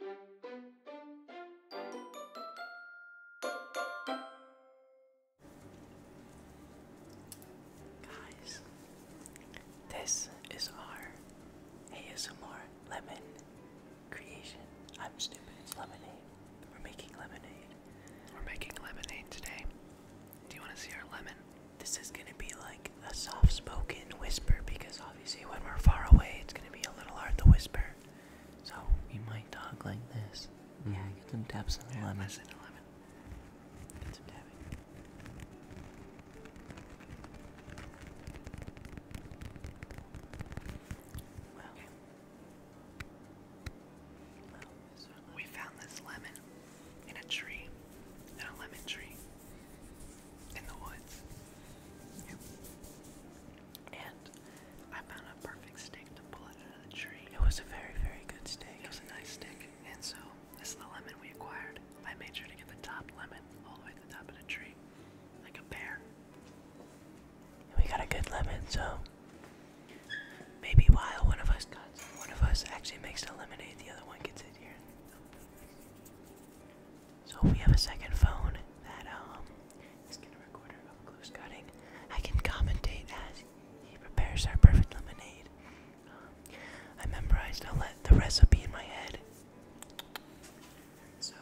Guys, this is our ASMR lemon creation. I'm stupid, it's lemonade. We're making lemonade. We're making lemonade today. Do you want to see our lemon? This is gonna be like a soft spoken whisper because Obviously, when we're far away, it's gonna be a little hard to whisper. So we might talk like this. Yeah, mm-hmm. get some taps on the lemon. Listen to lemon. Get some tapping. we found this lemon in a tree, in a lemon tree in the woods. And I found a perfect steak to pull out of the tree. It was a very, very good stick. It was a nice stick. And so, this is the lemon we acquired. I made sure to get the top lemon all the way to the top of the tree, like a pear. And we got a good lemon, so maybe while one of us got one of us actually makes the lemonade, the other one gets it here. So we have a second phone that um is gonna record our close cutting, I can commentate as he prepares our perfect lemonade. Um, I memorized the recipe in my head. So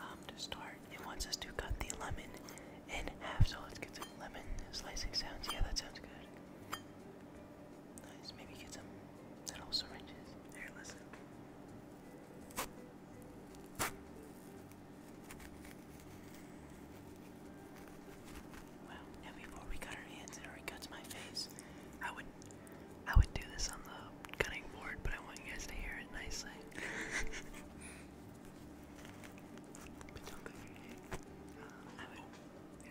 um, to start, it wants us to cut the lemon in half. So let's get some lemon slicing sounds. Yeah, that sounds good. Nice. Maybe get some Little syringes. Here, listen. Wow, and before we cut our hands and already cuts my face, I would I would do this on the cutting board, but I want you guys to hear it nicely. but don't go uh, I yeah.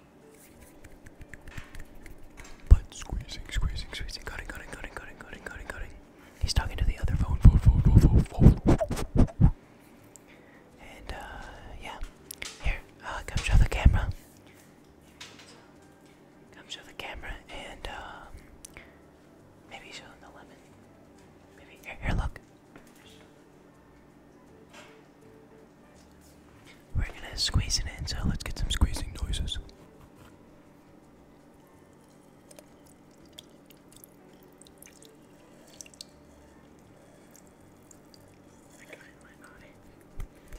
But squeezing, squeezing, squeezing, cutting, cutting, cutting, cutting, cutting, cutting, cutting. He's talking to the other phone, And uh, yeah, here, uh, come show the camera. Come show the camera and um, maybe show the lemon. Maybe here, here, look. We're gonna squeeze it in, so let's get some squeezing noises.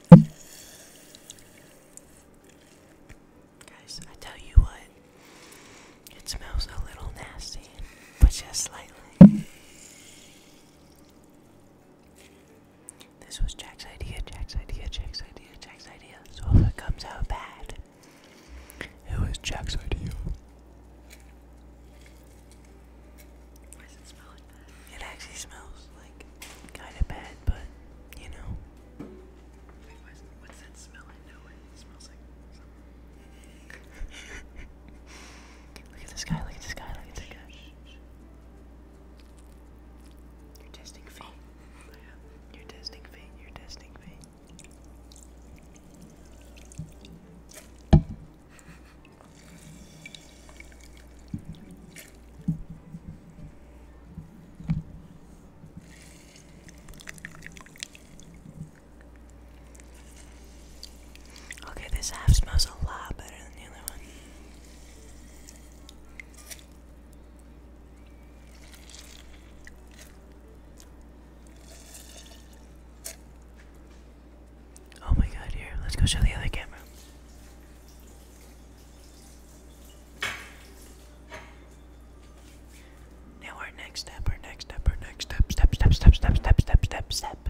Guys, I tell you what, it smells a little nasty, but just slightly. This was Jack's idea, Jack's idea, Jack's idea, Jack's idea. So if it comes out bad, it was Jack's idea. Why does it smell like It actually smells like kind of bad, but you know. what's, that smell? I know it. smells like look at this guy, look at this guy, look at this guy. You're testing feet. Oh. You're testing feet. You're testing feet. Okay, this half smells a lot better than the other one. Oh my god, here, let's go show the other camera. Now, our next step, our next step, next step, step, step, step, step, step, step, step, step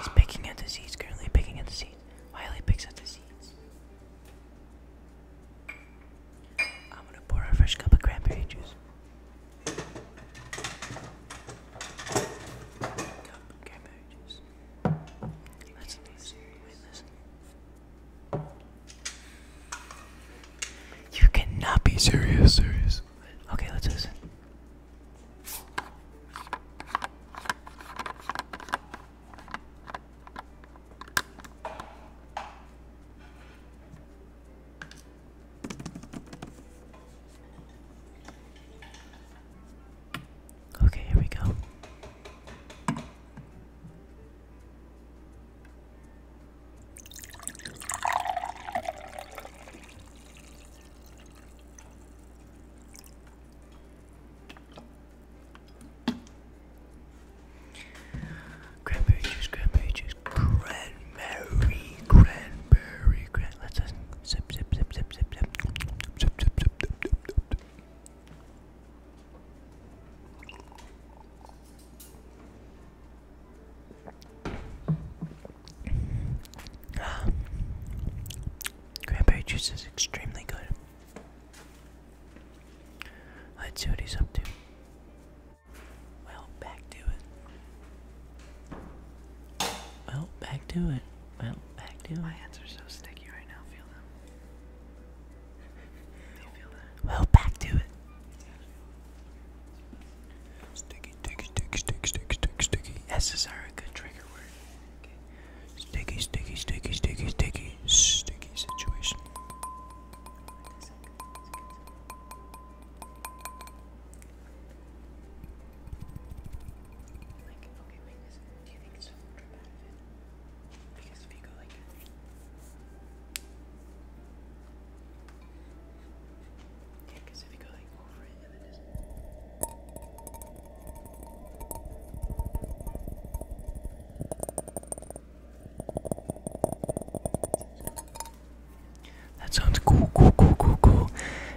He's picking at the seeds, currently picking at the seeds. he picks at the seeds. I'm gonna pour a fresh cup of cranberry juice. Cup cranberry juice. You cannot be serious, serious. Okay, let's listen. Okay, here we go. Cranberry juice, cranberry juice, cranberry, cranberry, cran. Let's just sip, sip, sip, sip, sip, sip, sip, sip, sip, sip, sip, sip. Ah. juice is extremely good. Let's see what he's up to. Well, back to it. Well, back to it. Well, back to it. My hands are so sticky right now. Feel them. feel that? Well, back to it. Sticky, sticky, sticky, sticky, sticky, sticky, sticky. S's are a good trigger word. Okay. Sticky, sticky, sticky, sticky, sticky, sticky situation. Like, okay, wait, this, do you think it's will drip out of it? Because if you go like that, that sounds cool, cool, cool, cool, cool.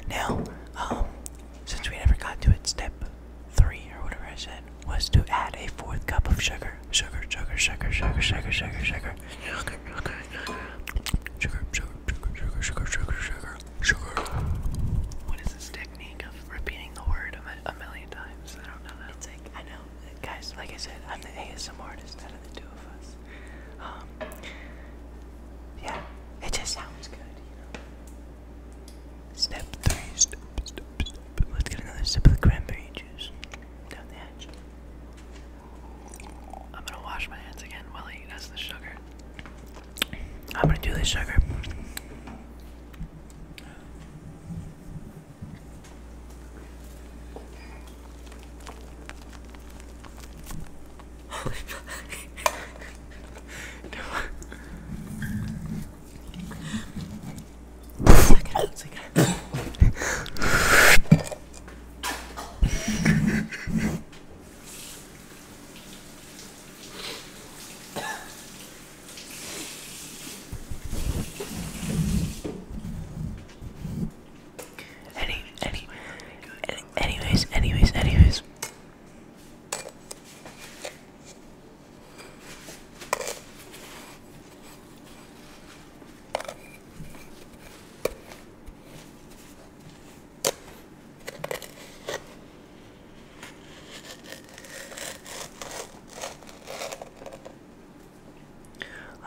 Now, um, since we never got to it, step three or whatever I said was to add a fourth cup of sugar sugar, sugar, sugar, sugar, sugar, sugar, sugar, sugar, sugar, sugar, sugar, sugar, sugar, sugar, sugar. What is this technique of repeating the word a million times? I don't know that. It's like I know, guys. Like I said, I'm the ASM artist out of the two of us. Um, yeah, it just sounds good, you know. Step three, step, step, step. Let's get another sip of the cranberry juice down the hatch. I'm gonna wash my hands again while he eat. the sugar. I'm gonna do this sugar. Holy fuck. no. Second, second any, any, any, anyways, anyways, anyways.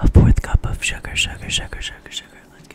A fourth cup of sugar, sugar, sugar, sugar, sugar. let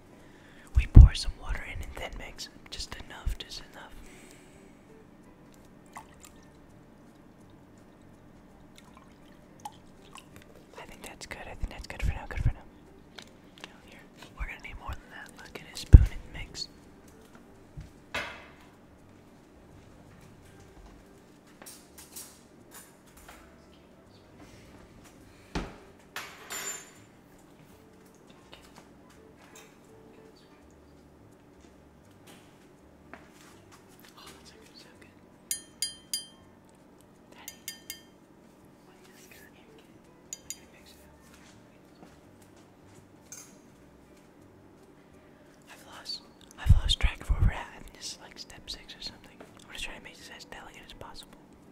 We pour some water in and then mix. Just enough, just enough. I think that's good. I think that's good for now. Good for now. Here, we're gonna need more than that. Look at his spoon and mix. Oh, that's actually so good. Daddy, what is this? I'm gonna mix it I've lost, I've lost track of where we're at. this is like step six or something. I'm gonna to make this as delicate as possible.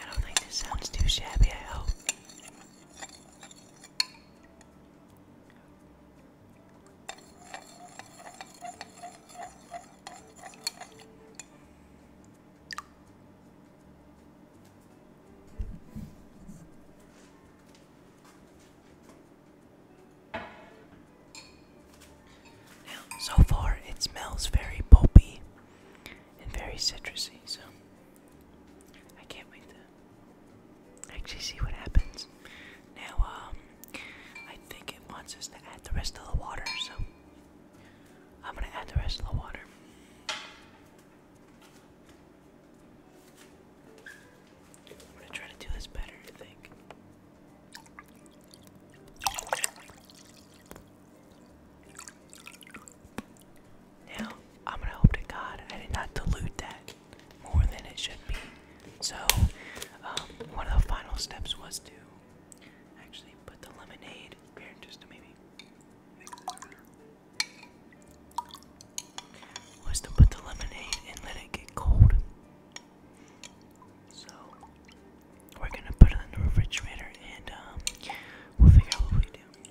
I don't think this sounds too shabby, I hope. so far it smells very pulpy and very citrusy, so I can't wait to actually see what happens. Now, um, I think it wants us to add the rest of the water, so I'm gonna add the rest of the water. I'm gonna try to do this better, I think. Now, I'm gonna hope to God I did not dilute that more than it should be. So, um, one of the final steps was to actually put the lemonade Was to put the lemonade and let it get cold. So, we're gonna put it in the refrigerator and um, we'll figure out what we do.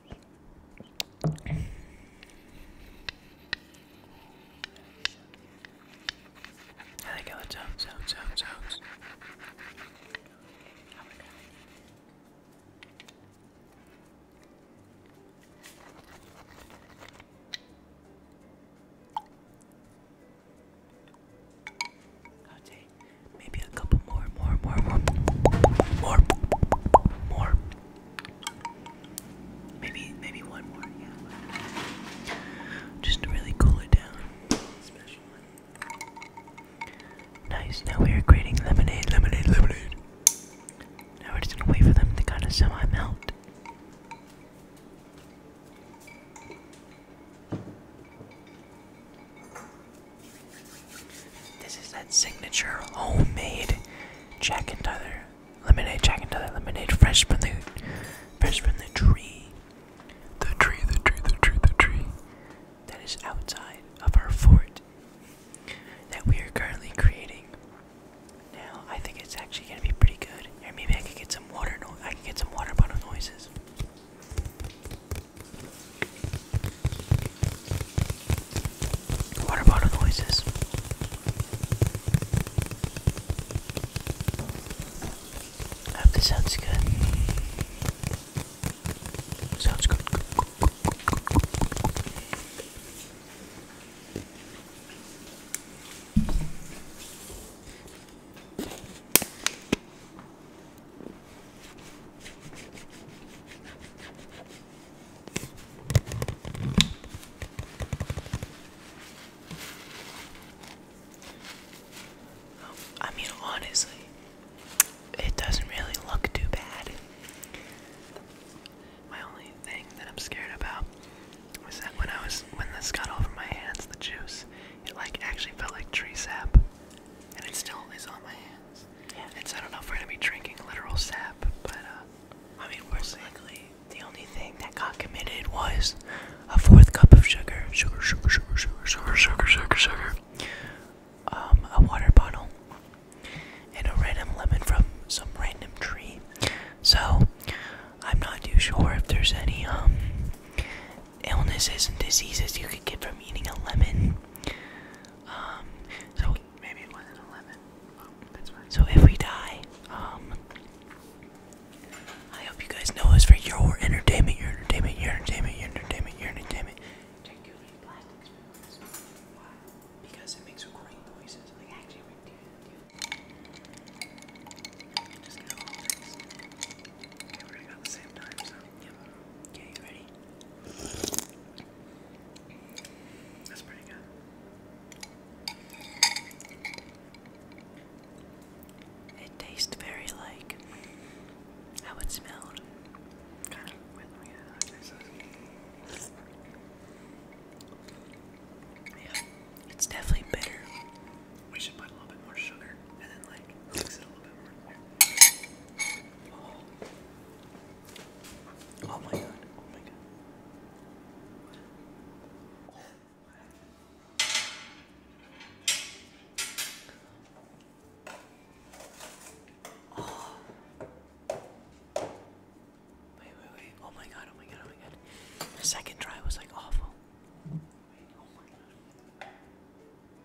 I like how it sounds, sounds, sounds, sounds. Oh maybe a couple more, more, more, more, more, more, Maybe, maybe one more. Just to really cool it down. Nice. Now we are creating lemonade, lemonade, lemonade. Now we're just gonna wait for them to kind of semi melt. This is that signature homemade Jack and Tyler lemonade, Jack and Tyler lemonade, fresh from the tree, the tree, the tree, the tree, the tree that is outside of our fort that we are currently creating. Now I think it's actually gonna be pretty good. Or maybe I could get some water. I can get some water bottle noises. What about the noises? hope this sounds good. Sounds good. I mean, honestly, it doesn't really look too bad. My only thing that I'm scared about was that when I was when this got over my hands, the juice, it like actually felt like tree sap, and it still is on my hands. Yeah. And I don't know if we're gonna be drinking literal sap, but uh, I mean, worst are The only thing that got committed was a fourth cup of sugar, sugar, sugar, sugar, sugar, sugar, sugar, sugar, sugar. Um, a water bottle and a random lemon from some random tree. So I'm not too sure if there's any um illnesses and diseases you could get from eating a lemon. Um, so maybe it wasn't eleven. Oh, so if we die, um, I hope you guys know it's for your entertainment, your entertainment, your entertainment, your entertainment, your entertainment. Okay, ready? That's pretty good. It tastes very like how it smelled. Yeah, it's definitely bitter. We should put a little bit more sugar and then like mix it a little more. Oh my god. Oh my god. Oh. Wait, wait, wait. Oh my god. Oh my god. Oh my god. The second try was like awful. Oh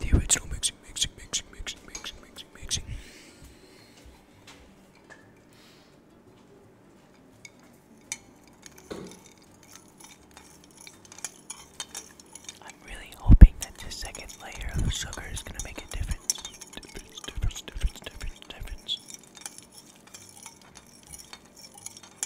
The original mixing, mixing, mixing, mixing, mixing, mixing, mixing. I'm really hoping that this second layer of sugar is going to make a difference.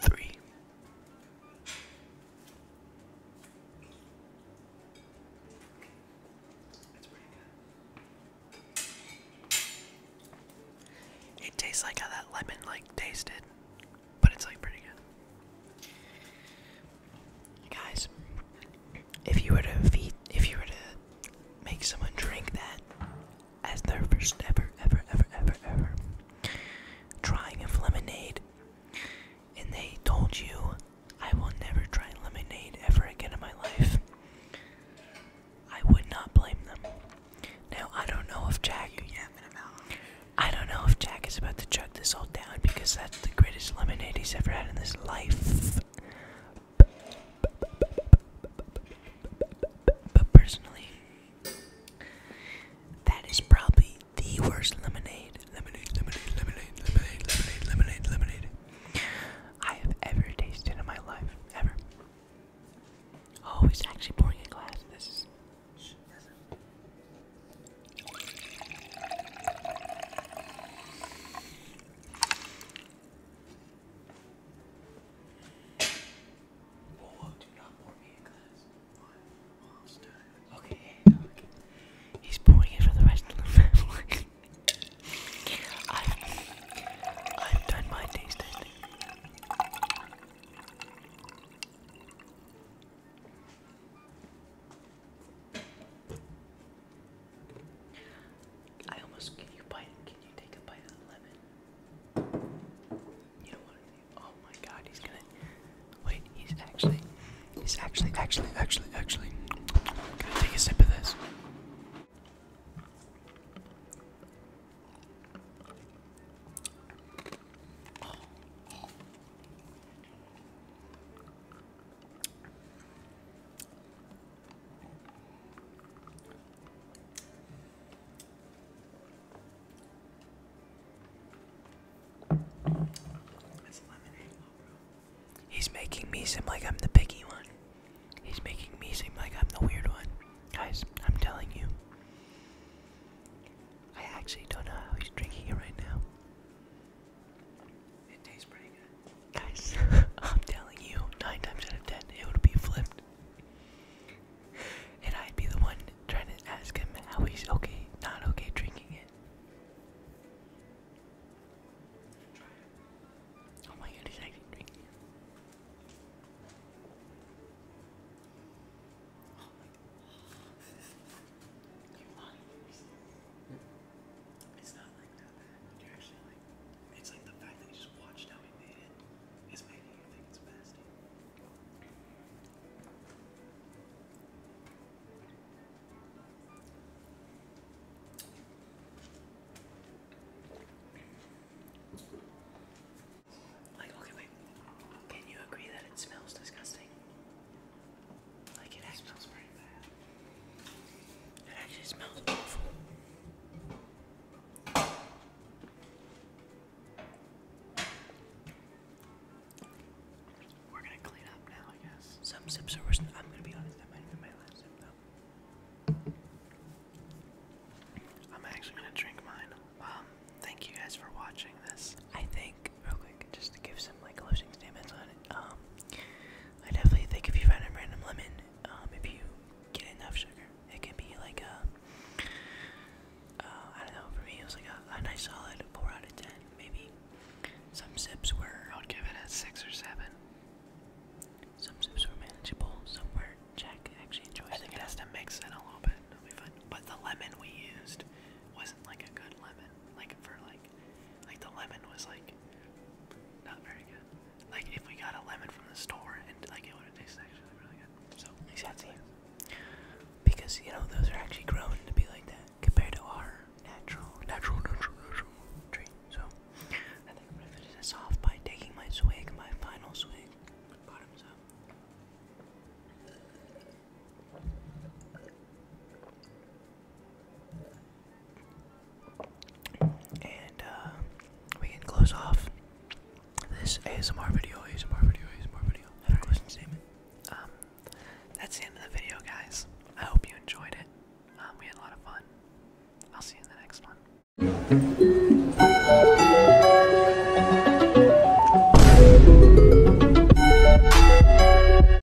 Three. It tastes like how that lemon like tasted, but it's like pretty good. Guys, if you were to feed, if you were to make someone drink that as their first ever, ever, ever, ever, ever trying of lemonade, and they told you, I will never try lemonade ever again in my life. I would not blame them. Now, I don't know if Jack. I don't know if Jack is about to chug this all down because that's the greatest lemonade he's ever had in his life. But personally, that is probably the worst lemonade, lemonade, lemonade, lemonade, lemonade, lemonade, lemonade, lemonade I have ever tasted in my life, ever. Oh, he's actually pouring a glass. This is. Okay, yeah, no, He's pouring it for the rest of the family. I've, I've done my taste I almost can you bite? Can you take a bite of the lemon? You don't Oh my God, he's gonna. Wait, he's actually, he's actually, actually, actually, actually. gonna take a sip of this. He's making me seem like I'm the picky one. He's making me seem like I'm the weird one. Guys, I'm telling you. I actually don't know how he's drinking it right now. It tastes pretty good. Guys, I'm telling you, nine times out of ten, it would be flipped. And I'd be the one trying to ask him how he's okay, not okay drinking it. Oh my god, he's actually drinking it's not like that You're actually like, it's like the fact that you just watched how we made it is making you think it's fasting. Like, okay, wait. Can you agree that it smells disgusting? Some sips are worse. I'm gonna be honest. That might have my last sip, though. I'm actually gonna drink mine. Um, thank you guys for watching this. I think real quick, just to give some like closing statements on it. Um, I definitely think if you find a random lemon, um, if you get enough sugar, it can be like a, uh, don't know, for me it was like a, nice solid 4 out of 10, maybe. Some sips were, I would give it a 6 or 7. Some sips were manageable, some were Jack actually enjoys I think it has to mix in a little bit. But the lemon we used wasn't like a good lemon. Like for like like like the lemon was like not very good. Like if we got a lemon from the store and like it would have tasted actually really good. So exactly. Because you know those are actually grown to be like that compared to our natural natural natural natural tree. So I think I'm gonna finish this off by taking my swig, my final swig. Bottoms up. And uh, we can close off this ASMR video, ASMR video, ASMR video. And a closing um, that's the end of the video, guys. I hope you enjoyed it. Um, we had a lot of fun. I'll see you in the next one.